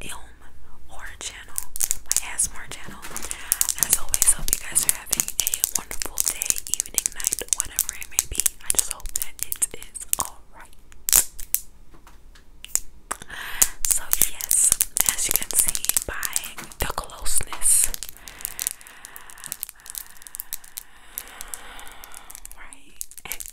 Ilm horror channel, my ASMR channel. As always, hope you guys are having a wonderful day, evening, night, whatever it may be. I just hope that it is alright. So, yes, as you can see by the closeness, right?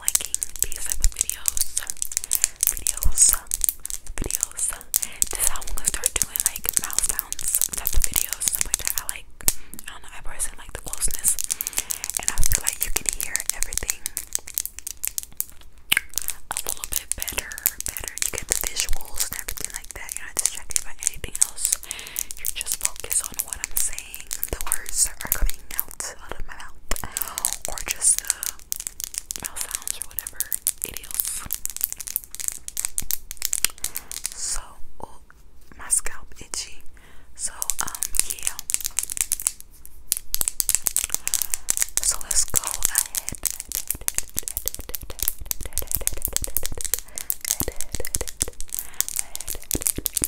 liking these type of videos. Videos. Videos. This how I'm gonna start doing like mouth sounds type of videos, stuff like I like I don't know, I personally like the closeness. And I feel like you can hear everything a little bit better, better. You get the visuals and everything like that. You're not distracted by anything else. you just focused on what I'm saying the words that are coming out out of my mouth, or just mouth sounds or whatever it is. So, oh, my scalp itchy. So, um, yeah. So let's go ahead. Head, head, head,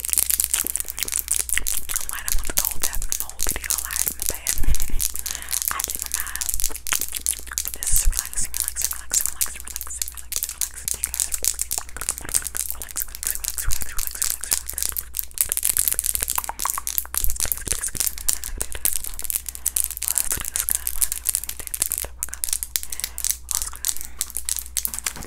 I'm like, I'm gonna go tap in the whole video live in the bed. I did my mind. This is relaxing, relaxing, relaxing, relaxing, relaxing, relaxing, relaxing, relaxing, relaxing, relaxing, relaxing, relaxing, relaxing, relaxing, relaxing, relaxing, relaxing, relaxing, relaxing,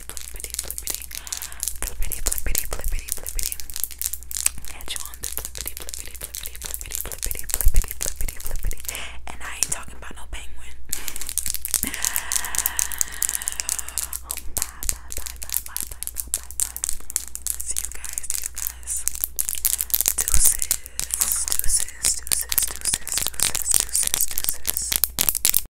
flippity, flippity, flippity, flippity, flippity, flippity, flippity. Catch on the flippity, flippity, flippity, flippity, flippity, flippity, flippity, flippity. And I ain't talking about no penguin. Oh, bye, bye, bye, bye, bye, bye, bye, bye. See you guys, see you guys. Deuces, deuces, deuces, deuces, deuces, deuces, deuces.